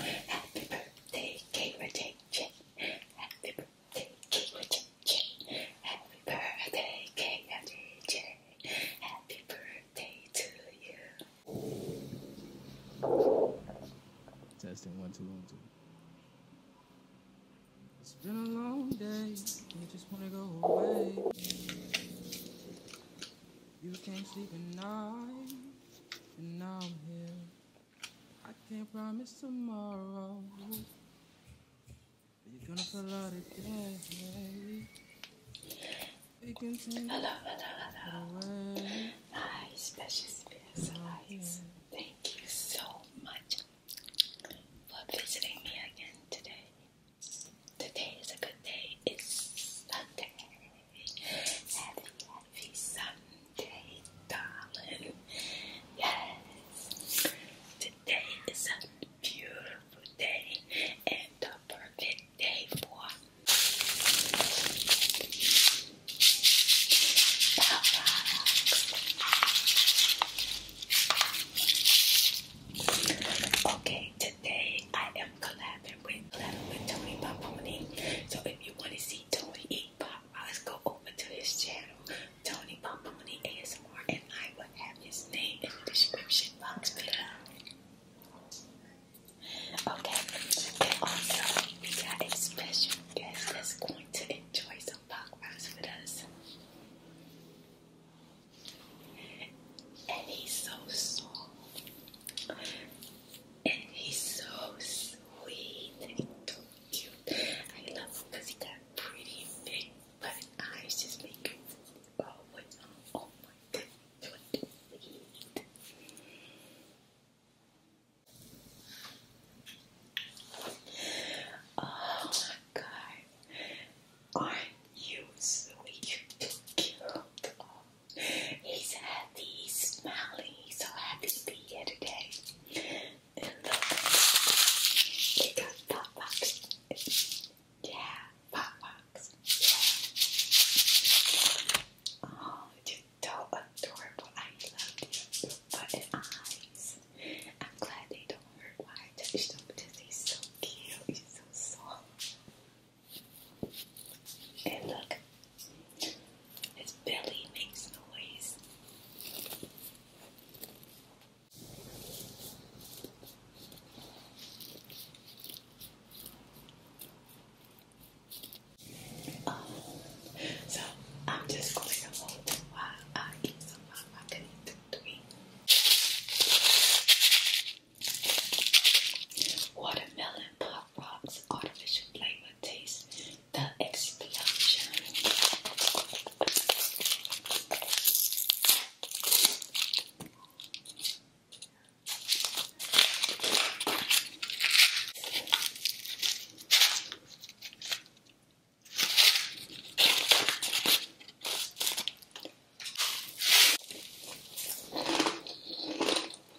Happy birthday, Gamer Happy birthday, Gamer Happy birthday, Gamer Happy birthday to you. Testing one, two, one, two. It's been a long day. I just wanna go away. You can't sleep at night, and now I'm here. I can't promise tomorrow. You're gonna feel out of day. Hello, hello, hello. Nice, precious bears. Thank you so much for visiting me again today. Today is a good day. It's Sunday. Happy, happy Sunday, darling. Yes, today is a beautiful day and the perfect day for Okay, today I am collabing with collabing with Tony Pomponi. So if you want to see Tony eat pop. Uh, let's go over to his channel, Tony Pomponi ASMR, and I will have his name in the description box below. Okay, and also we got a special guest that's going to enjoy some pop rocks us. And he's so soft and he's so sweet so cute. I love him he got pretty big black eyes, just make him always on. Oh oh, oh, oh my god, aren't you sweet? cute. Oh. He's happy, he's smiling, he's so happy to be here today. And look, they pop box. Yeah, pop box. Oh, you're so adorable. I love you. Button eyes. I'm glad they don't hurt. Why I touched them because he's so cute. He's so soft. And look, his belly makes noise. Oh, so I'm just going to hold while I eat some of my connected Watermelon Pop Rock's artificial flavor taste the explosion.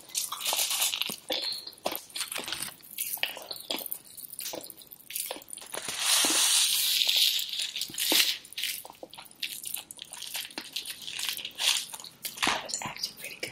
I was acting pretty good.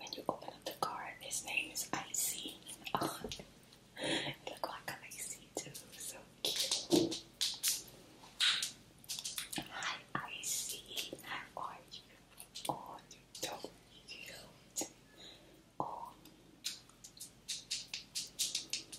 When you open up the card, his name is Icy. look like an Icy too, so cute. Hi Icy, how are you? Oh, you're so Oh.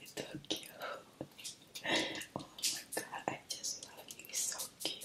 It's so cute. Oh my god, I just love you. so cute.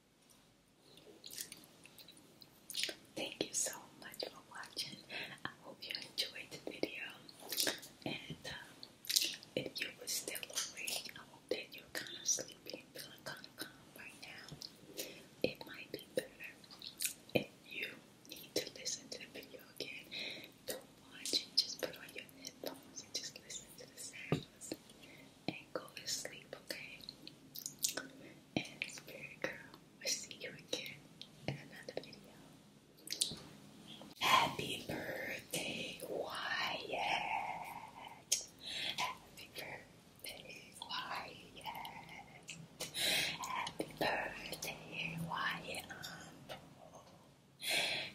Thank you so much for watching. I hope you enjoyed the video. And um, if you were still awake, I hope that you're kind of sleepy and feeling kind of calm right now. It might be better if you need to listen to the video again. Don't watch it, just put on your headphones and just listen to the sounds and go to sleep, okay? Spirit Girl. We'll see you again in another video. Happy birthday, Wyatt! Happy birthday, Wyatt! Happy birthday, Wyatt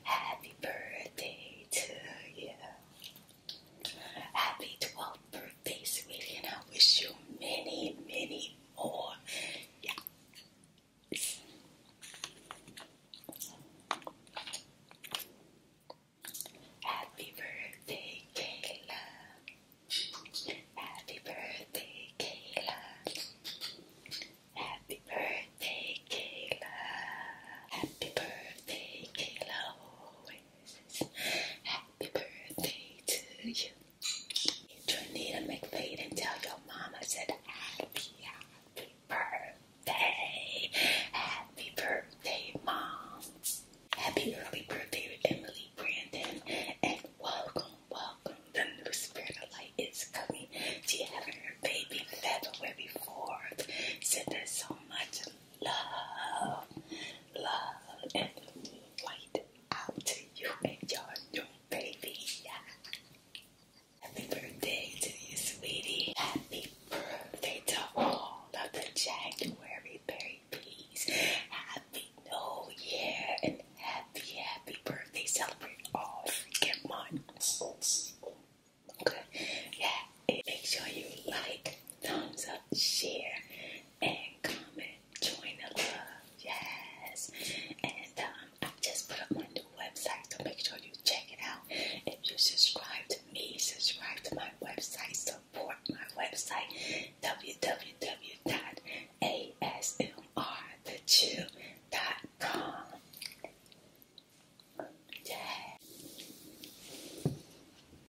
Happy birthday to you! Happy 12th birthday, sweetie, and I wish you many, many more. Happy birthday, Kayla. Happy birthday, Kayla. Happy birthday, Kayla. Happy birthday, Kayla. Happy birthday to you. Trinita McFade and tell your mama said happy, birthday. Happy birthday, mom. Happy early birthday to Emily Brandon. And welcome, welcome. The new spirit of light is coming. She having baby February 4th. Send her so much love, love, and light out to you and your new baby. Happy birthday to you, sweetie. Happy birthday to all of the January babies. Happy New Year and happy, happy birthday. Celebrate all freaking months. Okay, yeah. Make sure you like, thumbs up, share, and comment, join the love, yes. And um, I just put up my new website, so make sure you check it out. If you subscribe to me, subscribe to my website, support my website, www.asmrthechew.com. Yeah.